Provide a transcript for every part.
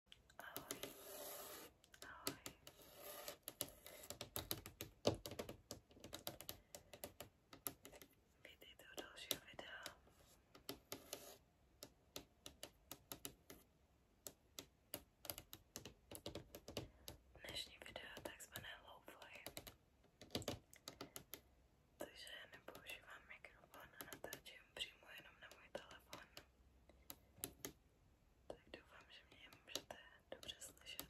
Ahoj. Ahoj. Vítejte u dalšího videa. Dnešní video je takzvané low-fi, takže nepoužívám mikrofon a natáčím přímo jenom na můj telefon. Tak doufám, že mě můžete dobře slyšet.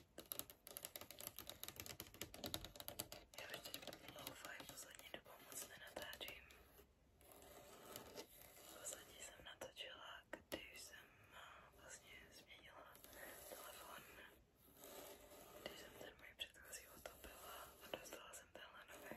Já už teď loufaj poslední dobou moc nenatáčím. Poslední jsem natočila, když jsem eh, vlastně změnila telefon. Když jsem ten můj předchozí otopila a dostala jsem tenhle nový.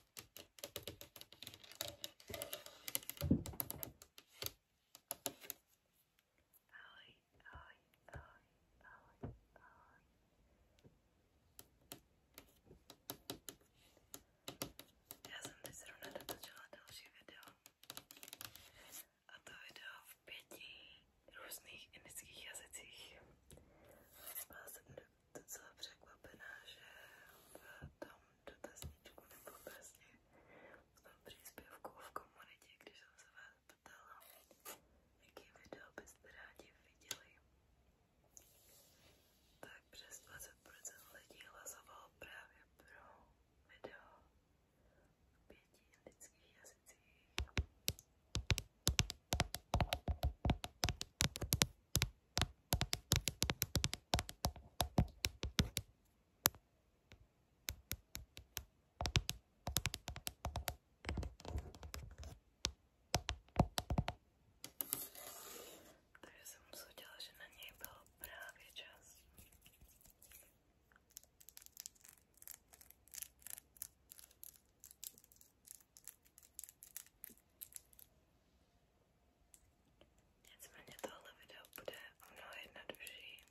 ahoj, ahoj, ahoj, ahoj, ahoj. Já jsem teď zrovna natočila další video a to video v pěti různých indických jazycích. Byla jsem docela překvapená, že v tom dotazničku nebo vlastně v tom příspěvku v komunitě, když jsem se vás ptala, jaký video byste rádi viděli. Tak přes 20% lidí hlasovalo právě pro video v pěti indických jazycích. Takže jsem usoudila, že na něj byl právě čas. Nicméně tohle video bude o mnoho jednodušší.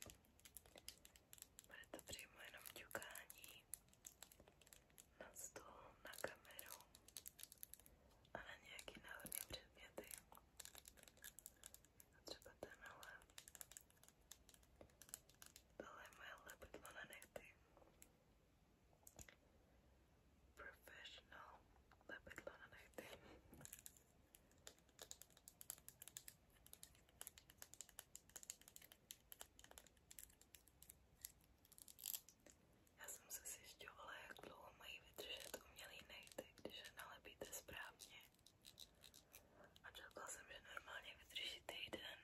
Bude to přímo jenom ťukání na stůl, na kameru a na nějaký náhodné předměty. A třeba tenhle. Tohle je moje lepidlo na nechty professional lepidlo na nechty. Já jsem se zjišťovala, jak dlouho mají vydržet umělý nechty, když je nalepíte správně. A čekala jsem, že normálně vydrží týden.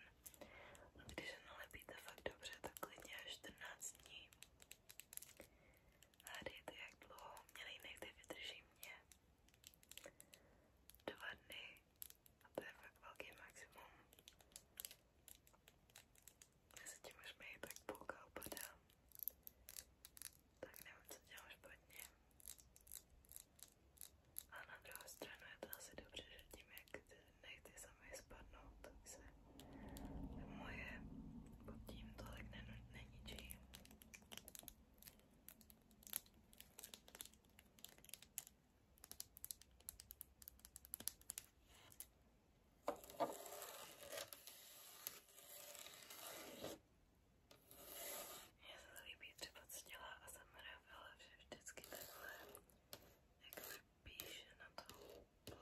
A když je nalepíte fakt dobře, tak klidně až 14 dní. Hádejte, jak dlouho mě nejnechty vydrží mě. Dva dny. A to je fakt velký maximum. Mezi tím už mi tak půlka upadá. Tak nevím, co dělám špatně. A na druhou stranu je to asi dobře, že tím, jak ty nechty sami spadnou, tak se moje pod tím tolik nen neničí. Mně se to líbí třeba co dělá a zamravila, že vždycky takhle jak píše na tu plochu.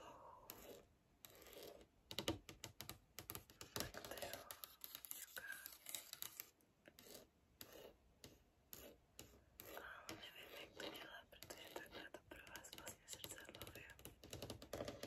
Tak to jo, ťuká. A nevím, jak to dělá, protože takhle to pro vás vlastně srdcadlově. Dobrý.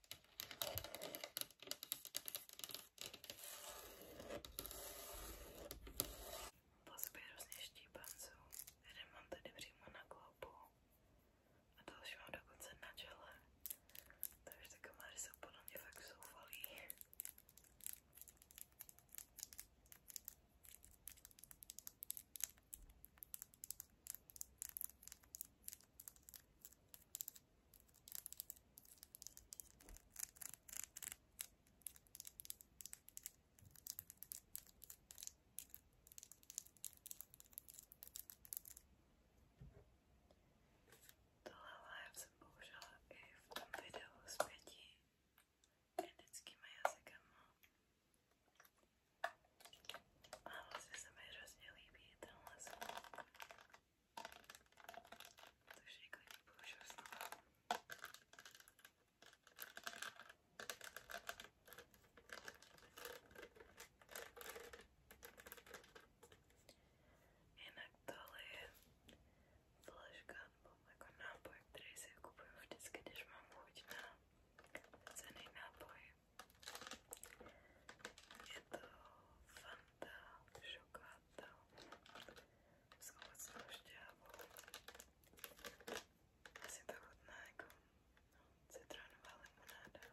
Po sobě různě štípanců. Jeden mám tady přímo na klopu a další mám dokonce na čele. Takže ty komáry jsou podle mě fakt zoufalý. Tohle live jsem použila i v tom videu s pěti indickými jazykama. A vlastně se mi hrozně líbí tenhle zvuk. To všechno nepoužil znovu. Jinak tohle je flaška nebo jako nápoj, který si kupuju vždycky, když mám chuť na cený nápoj. Je to fan šokáta, s ovocnou šťávou. Asi to chutná jako citronová limonáda.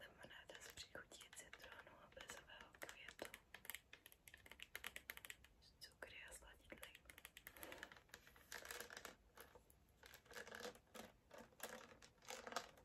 Limonáda s příchutí citronu a bezového květu. Cukry a sladidly.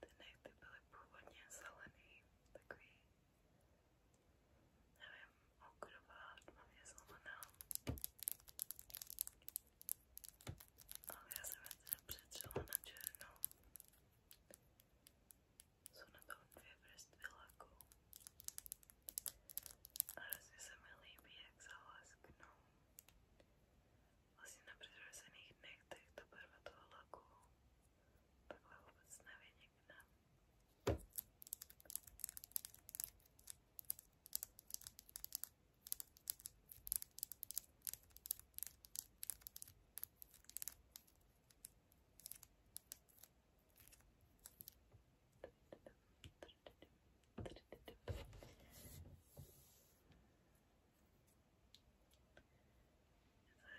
Ty nechty byly původně zelený, takový, nevím, okrová, tmavě zelená. Ale já jsem je teda přetřela na černou. Jsou na tom dvě vrstvy laku. A hrozně se mi líbí, jak zalesknou vlastně na předrozených nechtech ta barva toho laku takhle vůbec nevynikne.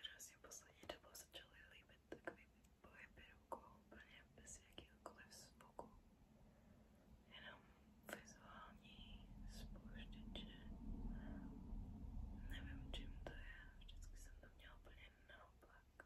Hrozně poslední dobou začaly líbit takový pohyby rukou úplně bez jakýhokoliv zvuku. Jenom vizuální spouštěče. Nevím, čím to je, vždycky jsem to měla úplně naopak.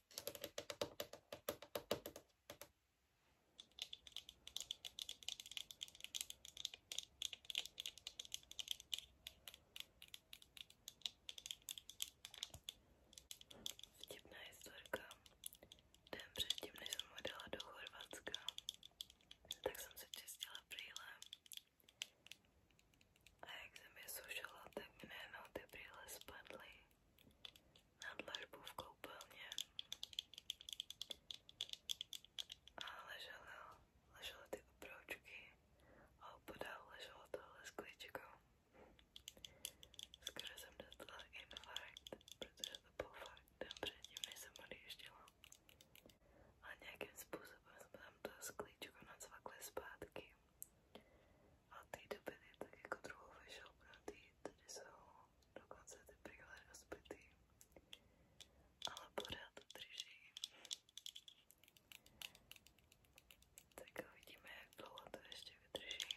Vtipná historka. Den předtím, než jsem odjela do Chorvatska, tak jsem se čistila brýle. A jak jsem je sušila, tak mi najednou ty brýle spadly nad dlažbu v koupelně a leželo, leželo ty obroučky a opodál leželo tohle skličkou. Skoro jsem dostala infarkt, protože to byl fakt den předtím, než jsem odjížděla. A nějakým způsobem jsme tam to sklíčko nacvakli zpátky. A ty dopady tak jako druhou vyšel pratý, tady jsou dokonce ty brýle rozbitý, ale pořád to drží. Tak uvidíme, jak dlouho to ještě vydrží.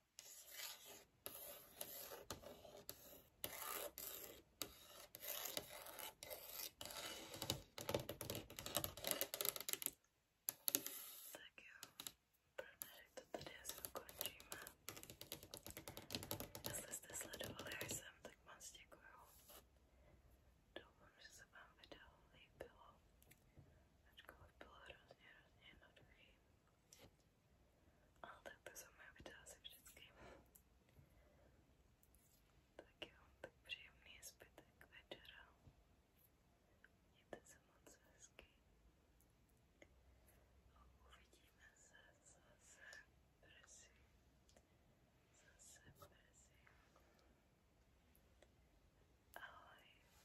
Takio to ukončíme. Jestli jste sledovali až sem, tak moc děkuju. Doufám, že se vám video líbilo. Ačkoliv bylo hrozně, hrozně jednoduchý. Ale tak to jsou moje videa se vždycky. Tak jo, tak příjemný zbytek večera. Mějte se moc hezky. A uvidíme se zase brzy. Zase brzy. Ahoj.